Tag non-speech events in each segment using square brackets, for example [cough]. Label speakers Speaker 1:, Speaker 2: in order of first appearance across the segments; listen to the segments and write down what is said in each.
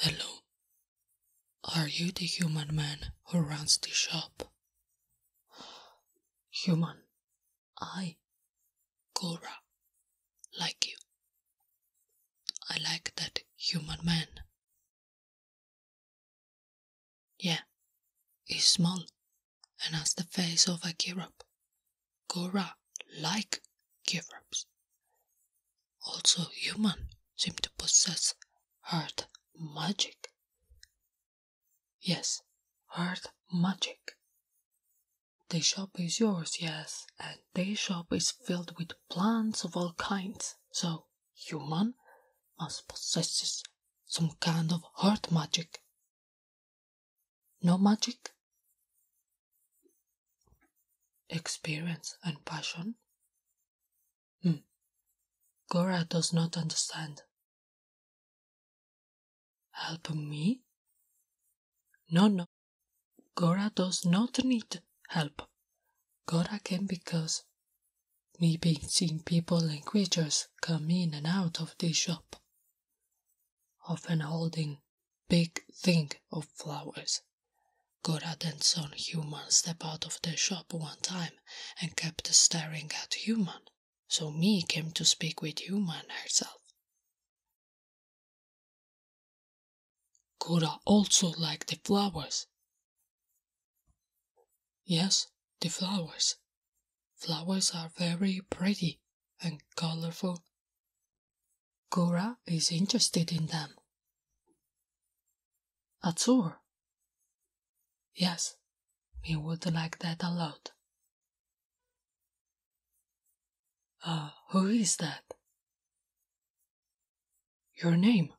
Speaker 1: Hello. Are you the human man who runs the shop? Human. I, Gora, like you.
Speaker 2: I like that human man.
Speaker 1: Yeah, he's small and has the face of a giraffe. Gora like giraffes. Also, human seem to possess earth magic. Yes, earth magic. The shop is yours, yes, and the shop is filled with plants of all kinds, so human must possess some kind of heart magic. No magic? Experience and passion? Hmm. Gora does not understand.
Speaker 2: Help me? No,
Speaker 1: no. Gora does not need help. Gora came because me being seen people and creatures come in and out of the shop, often holding big thing of flowers. Gora then saw human step out of the shop one time and kept staring at human, so me came to speak with human herself. Kora also liked the flowers. Yes, the flowers. Flowers are very pretty and colorful. Kora is interested in them. Azure. Yes, we would like that a lot. Uh, who is that? Your name.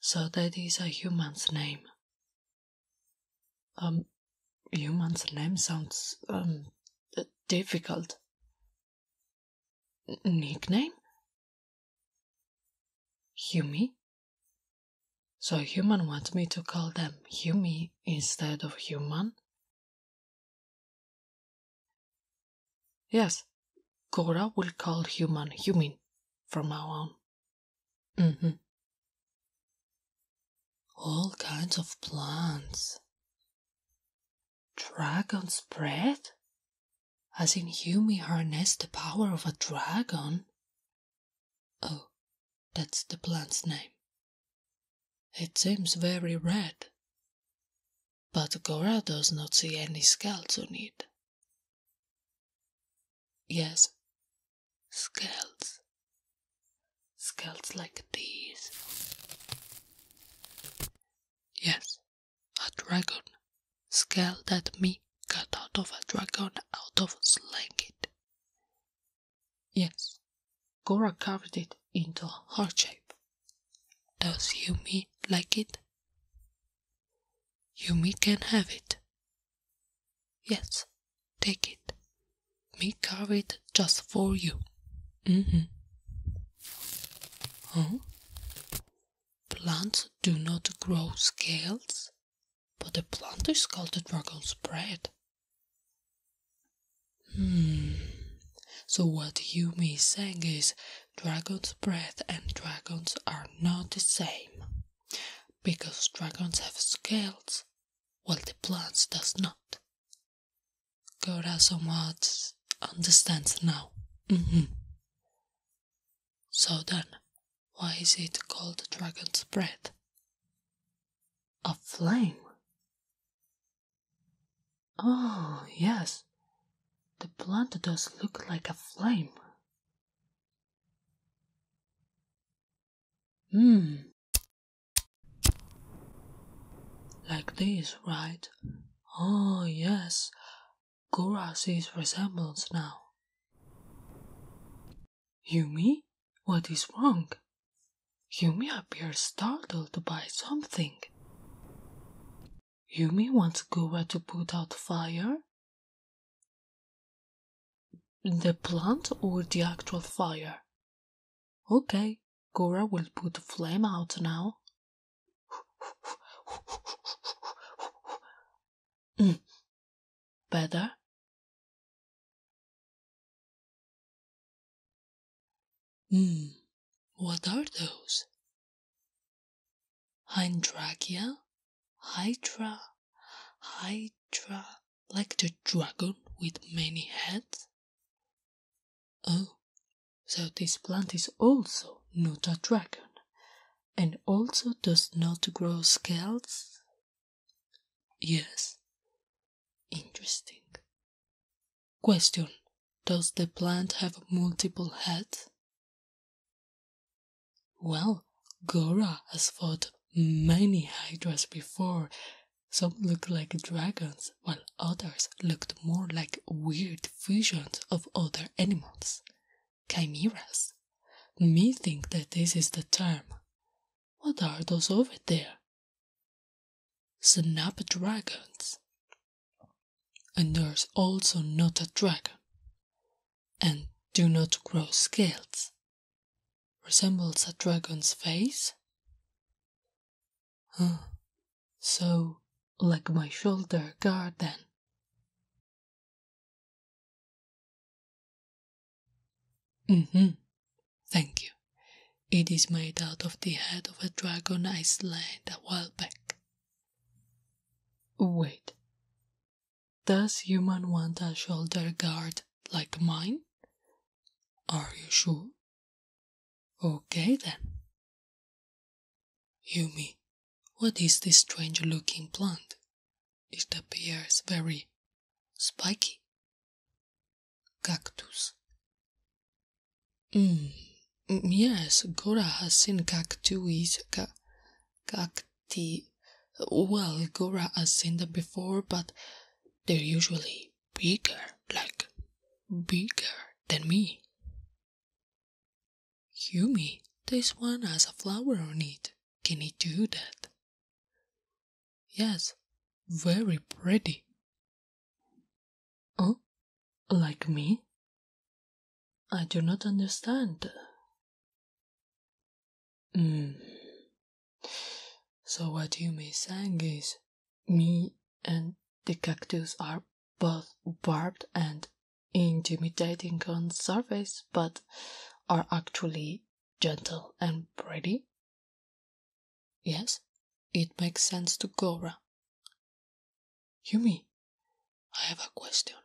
Speaker 1: So that is a human's name. Um, human's name sounds, um,
Speaker 2: difficult. nickname? Humi? So human wants me to call them Humi instead of human?
Speaker 1: Yes, Gora will call human human from now on. hmm All kinds of plants. Dragon's breath? As in human, harnessed the power of a dragon? Oh, that's the plant's name. It seems very red, but Gora does not see any scales on it. Yes, scales. Scales like these. Yes, a dragon. Scale that me cut out of a dragon out of sling it. Yes, Gora carved it into a heart shape. Does Yumi like it? Yumi can have it. Yes, take it. Me carve it just for you. Mm-hmm. Huh? Plants do not grow scales, but the plant is called the dragon's bread. Hmm. So what you miss saying is dragon's breath and dragons are not the same. Because dragons have scales, while the plants does not. Gora somewhat understands now. Mm-hmm. So then, why is it called dragon's breath? A flame Oh, yes.
Speaker 2: The plant does look like a flame.
Speaker 1: Hmm. Like this, right? Oh, yes. Gora sees resemblance now. Yumi, what is wrong? Yumi appears startled by something. Yumi wants Gora to put out fire? The plant or the actual fire? Okay, Gora will put flame out now. [laughs]
Speaker 2: Hmm. Better? Hmm, what
Speaker 1: are those? Hyndrachia? Hydra? Hydra? Like the dragon with many heads? Oh, so this plant is also not a dragon, and also does not grow scales? Yes. Interesting. Question Does the plant have multiple heads? Well, Gora has fought many hydras before. Some looked like dragons, while others looked more like weird fusions of other animals. Chimeras. Me think that this is the term. What are those over there? Snapdragons. And there's also not a dragon. And do not grow scales. Resembles a dragon's face? Huh. So,
Speaker 2: like my shoulder guard then.
Speaker 1: Mm-hmm. Thank you. It is made out of the head of a dragon I slayed a while back. Wait. Does human want a shoulder guard like mine? Are you sure? Okay
Speaker 2: then. Yumi, what is this strange looking plant? It appears very spiky.
Speaker 1: Cactus. Mm, mm yes, Gora has seen cacti. Well, Gora has seen them before, but they're usually bigger, like bigger than me. Yumi,
Speaker 2: this one has a flower on it. Can it do that? Yes, very pretty. Oh, like me? I do not understand.
Speaker 1: Hmm. So what you may saying is, me and the cactus are both barbed and intimidating on surface, but are actually gentle and pretty? Yes, it makes sense to Gora.
Speaker 2: Yumi, I have a question.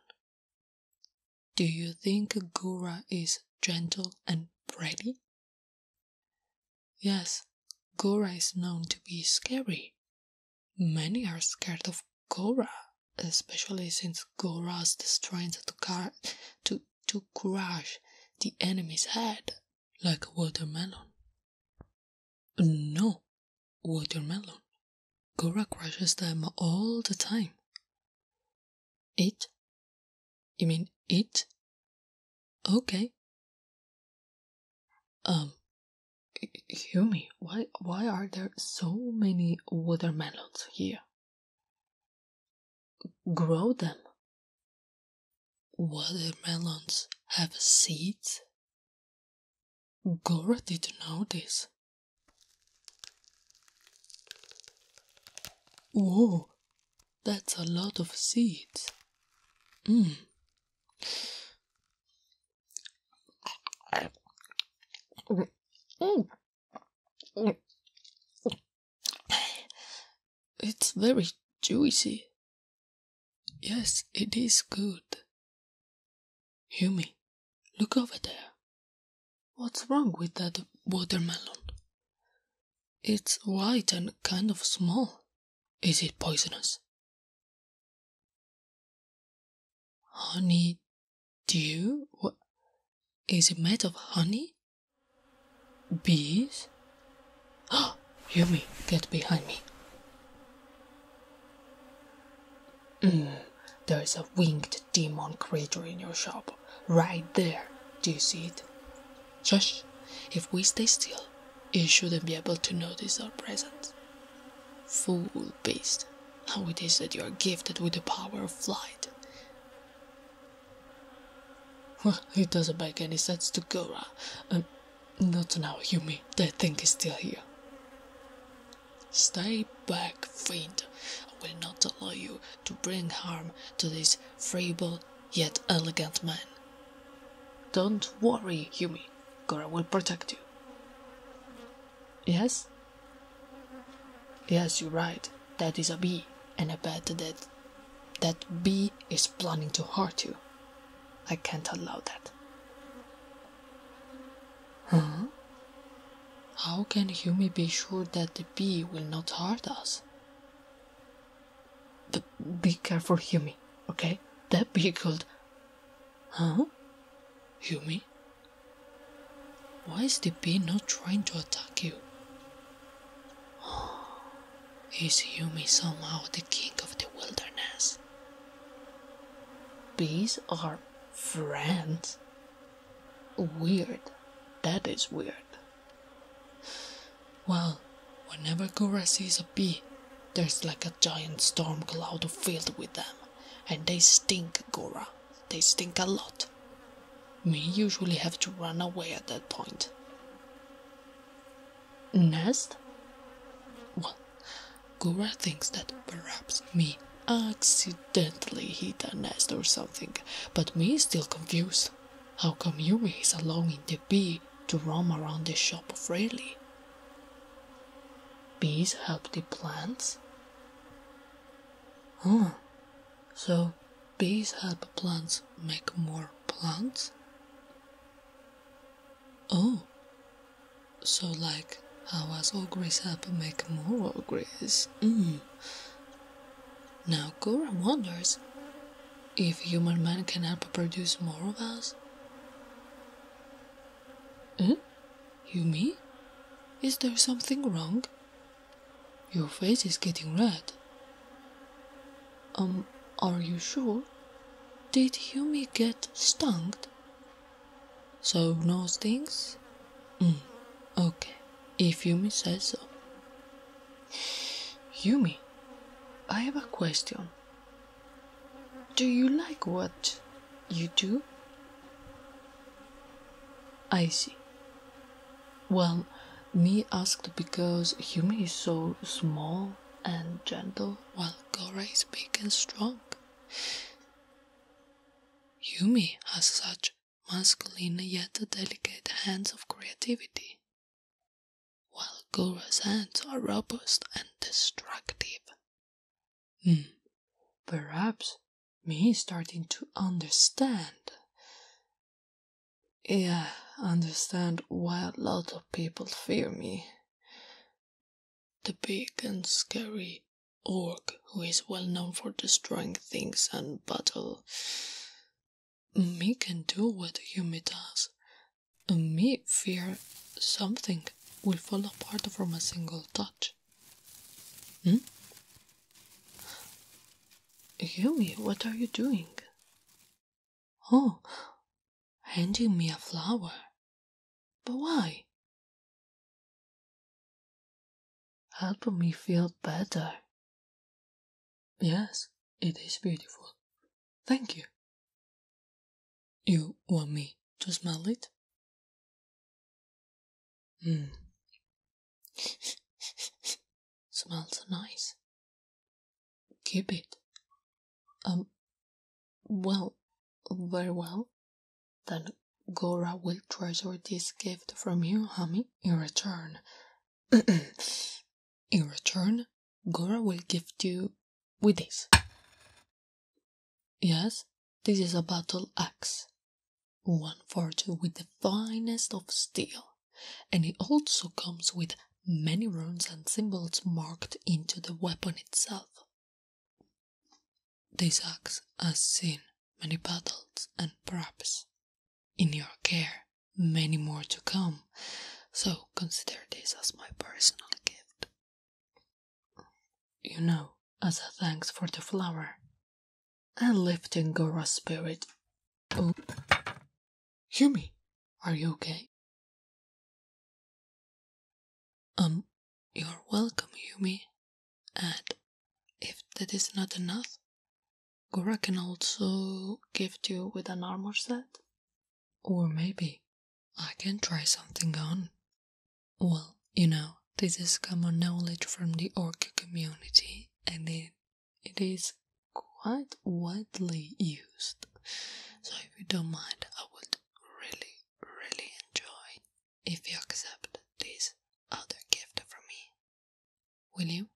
Speaker 1: Do you think Gora is gentle and pretty? Yes, Gora is known to be scary. Many are scared of Gora especially since Goras destroyed the car to, to crush the enemy's head like a watermelon. No, watermelon. Gora crushes them
Speaker 2: all the time. It? You mean it? Okay. Um, Yumi, why, why are there so many watermelons here? grow them.
Speaker 1: Watermelons have seeds. Gora did know this. Whoa, that's a lot of seeds. Mmm. It's very
Speaker 2: juicy. Yes, it is good.
Speaker 1: Yumi, look over there. What's wrong with that watermelon? It's white and kind of small. Is it
Speaker 2: poisonous? Honey
Speaker 1: dew? What? Is it made of honey? Bees? Oh, [gasps] Yumi, get behind me. Mm, there is a winged demon creature in your shop. Right there. Do you see it? Shush. If we stay still, it shouldn't be able to notice our presence. Fool beast. How it is that you are gifted with the power of flight? Well, it doesn't make any sense to Gora. And uh, uh, not now, Yumi. That thing is still here. Stay back, fiend. I will not allow you to bring harm to this frail yet elegant man. Don't worry, Yumi. Gora will protect you. Yes? Yes, you're right. That is a bee, and I bet that that bee is planning to hurt you. I can't allow that. Huh? How can Hume be sure that the bee will not hurt us? B- be careful, Hume, okay? That bee could. Huh? Hume? Why is the bee not trying to attack you? [gasps] is Yumi somehow the king of the wilderness? Bees are friends? Weird. That is weird. Well, whenever Gura sees a bee, there's like a giant storm cloud filled with them and they stink, Gora. They stink a lot. Me usually have to run away at that point. Nest? What? Gora thinks that perhaps me accidentally hit a nest or something, but me still confused. How come you is allowing the bee to roam around the shop freely Bees help the plants? Oh, so bees help plants make more plants? Oh, so like how us ogres help make more ogres? Mm. Now Gora wonders if human man can help produce more of us. Mm? Yumi, is there something wrong? Your face is getting red. Um, are you sure? Did Yumi get stung? So no stings? Mm, okay, if Yumi says so. [sighs] Yumi, I have a question. Do you like what you do? I see. Well, me asked because Yumi is so small and gentle, while Gora is big and strong. Yumi has such masculine yet delicate hands of creativity, while Gora's hands are robust and destructive Hmm. Perhaps me starting to understand. Yeah, understand why a lot of people fear me. The big and scary orc who is well known for destroying things and battle. Me can do what Yumi does me fear something will fall apart from a single touch. Hmm? Yumi, what are you doing? Oh,
Speaker 2: handing me a flower. But why? Help me feel better. Yes, it is beautiful, Thank you. You want me to smell it? Hmm. [laughs] Smells nice.
Speaker 1: Keep it. Um, well, very well. Then Gora will treasure this gift from you, Hami, in return. [clears throat] In return, Gora will gift you with this. Yes, this is a battle axe, one forged with the finest of steel, and it also comes with many runes and symbols marked into the weapon itself. This axe has seen many battles and perhaps, in your care, many more to come so consider this as my personal gift. You know, as a thanks for the flower. And lifting Gora's spirit. Oh.
Speaker 2: Yumi, are you okay?
Speaker 1: Um, you're welcome, Yumi. And if that is not enough, Gora can also gift you with an armor set or maybe I can try something on. Well, you know, this is common knowledge from the orca community and it, it is quite widely used. So if you don't mind, I would really, really enjoy if you accept this
Speaker 2: other gift from me. Will you?